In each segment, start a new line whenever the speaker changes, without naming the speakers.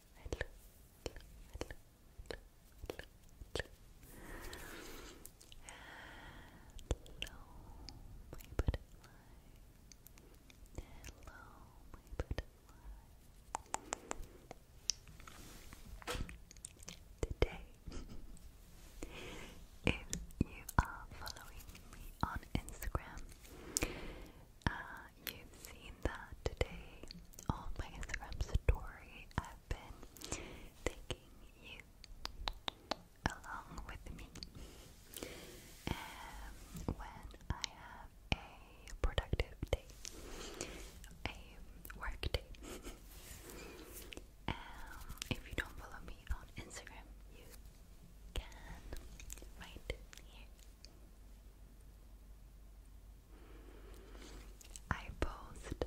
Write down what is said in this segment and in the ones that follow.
hello, my butterfly, hello, my butterfly. Today, if you are following me on Instagram, uh, you've seen that today on my Instagram story. I've been taking you along with me. when I have a productive day, a work day. Um, if you don't follow me on Instagram, you can right here. I post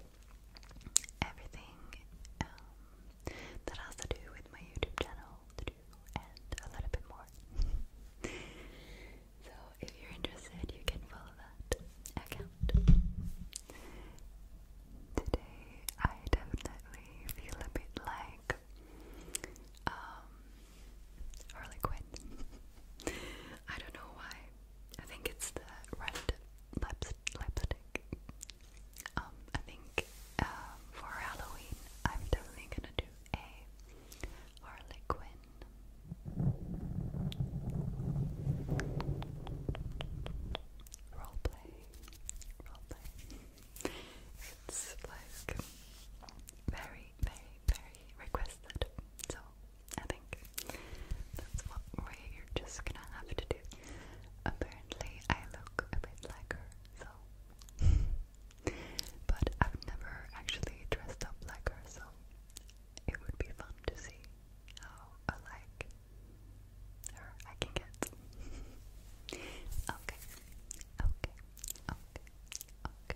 everything um, that has to do with my YouTube channel to do and a little bit more. so if you're interested, you can follow that account. Today, I definitely feel a bit like um, Harley Quinn. I don't know why. I think it's the red lipstick. Um, I think um, for Halloween, I'm definitely gonna do a Harley Quinn roleplay. Roleplay. It's like very very, very, very requested. So I think that's what we're just gonna have to do. Apparently, I look a bit like her, so. but I've never actually dressed up like her, so it would be fun to see how alike her I can get. okay, okay, okay, okay, okay.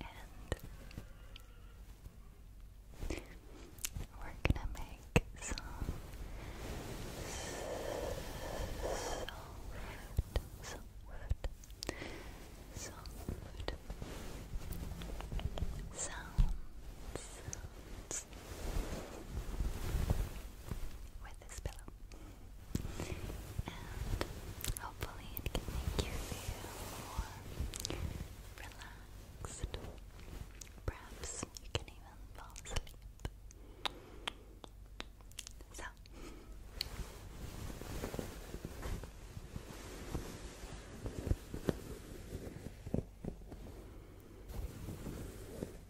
And we're gonna make some soft, soft, soft sounds, sounds with this pillow. And hopefully it can make you feel more relaxed. Perhaps you can even fall asleep. So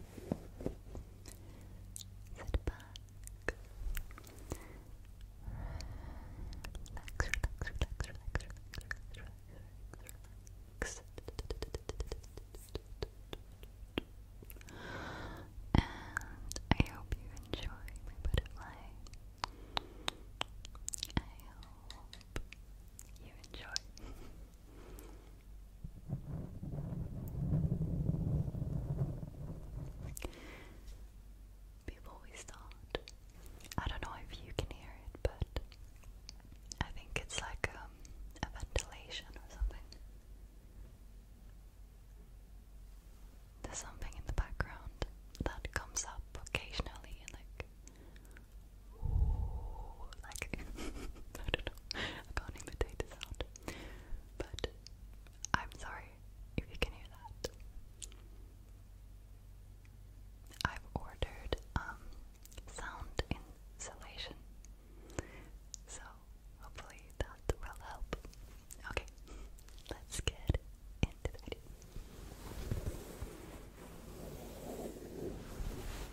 Sit back. Relax, relax, relax, relax, relax, relax, relax. And I hope you enjoy my butterfly. I hope you enjoy. Before we start, I don't know if you can hear it, but I think it's like um, a ventilation or something. There's something in the background that comes up occasionally, like like I don't know. I can't imitate the sound. But I'm sorry if you can hear that. I've ordered um, sound insulation. So hopefully that will help. Okay, let's get into the video.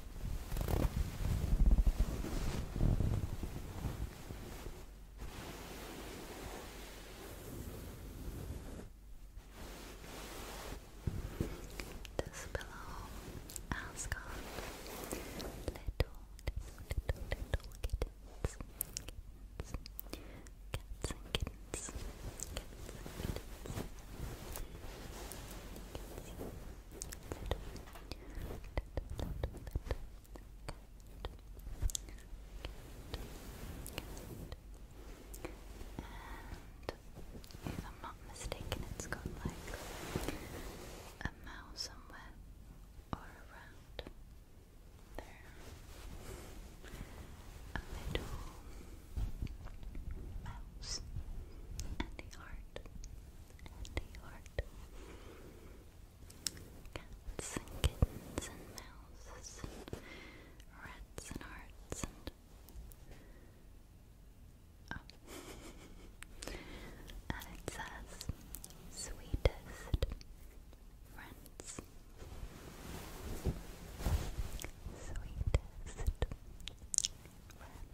This pillow has got little, little, little, little kittens, kittens, kittens, kittens, kittens if I'm not mistaken, it's got like a mouse somewhere or around there, a little mouse and a heart and a heart. Cats and kittens and mouses rats and hearts and Oh. and it says sweetest friends. Sweetest friends.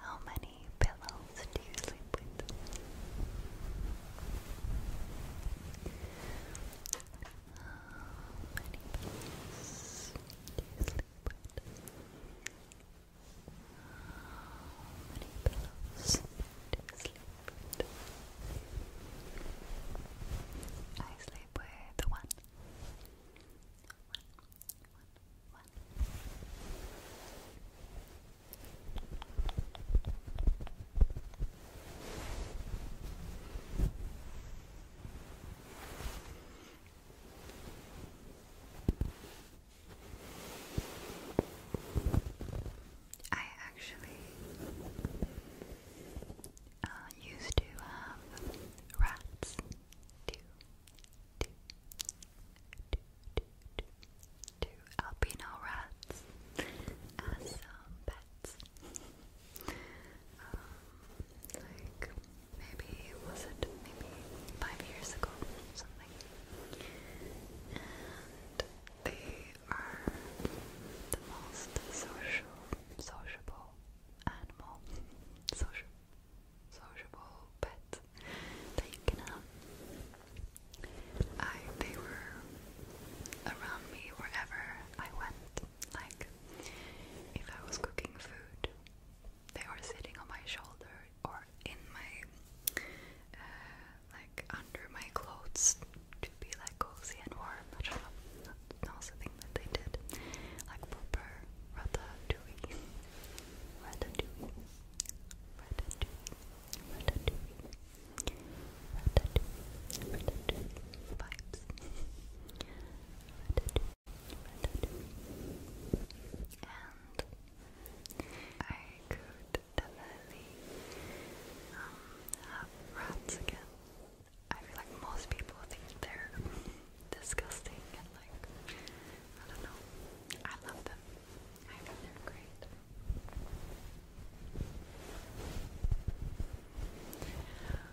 How many pillows do you sleep with? many pillows do you sleep I sleep with one. I actually uh, used to have rats Two, two, two, two, two albino rats as um, pets. like maybe, was it maybe five years ago or something? they are the most social, sociable animal, social, sociable pet that you can have. I, they were around me wherever I went. Like, if I was cooking food, they are sitting on my shoulder or in my uh, like under my clothes to be like cozy and warm. I don't know. That was the thing that they did. Like proper ratatouille. Ratatouille. Ratatouille. Ratatouille. Ratatouille. Ratatouille. Vibes. Ratatouille and I could definitely um, have rats again. I feel like most people think they're disgusting and like, I don't know. I love them. I think they're great.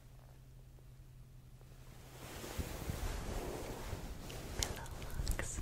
Pillow looks. Good.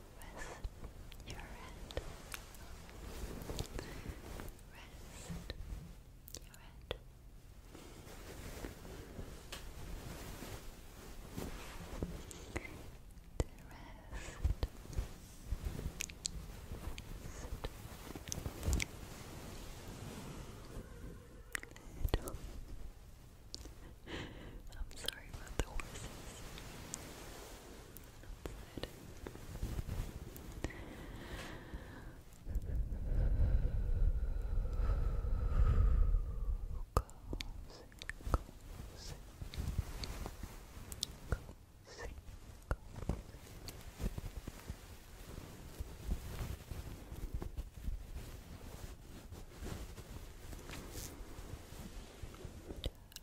Rest your head. Rest your head. Rest. I'm sorry about the horses outside. Cozy, cozy. Cozy, cozy. Just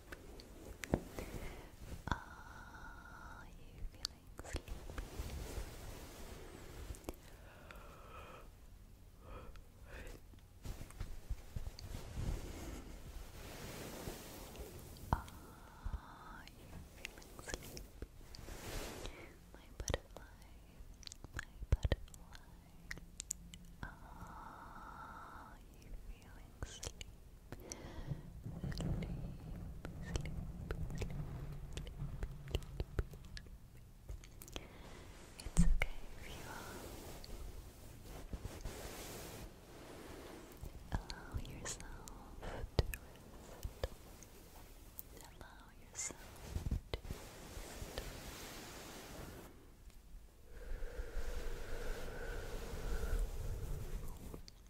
Are you feeling sleepy? Are you feeling sleepy? My butterfly, my butterfly. Are you feeling sleepy? sleep. It's okay if you Allow yourself to Allow yourself to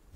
pillow,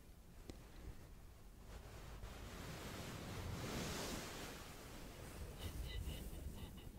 Kitty, kitty, kitty, kitty,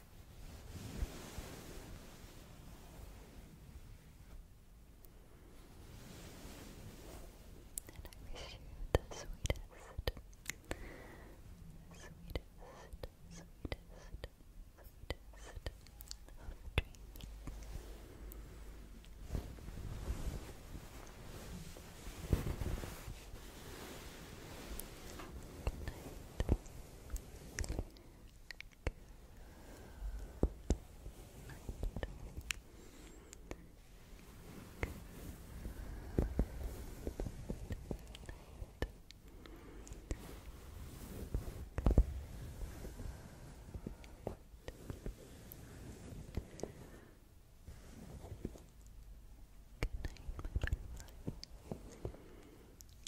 And I wish you the sweetest, sweetest, sweetest, sweetest of dreams. Good night, my butterfly.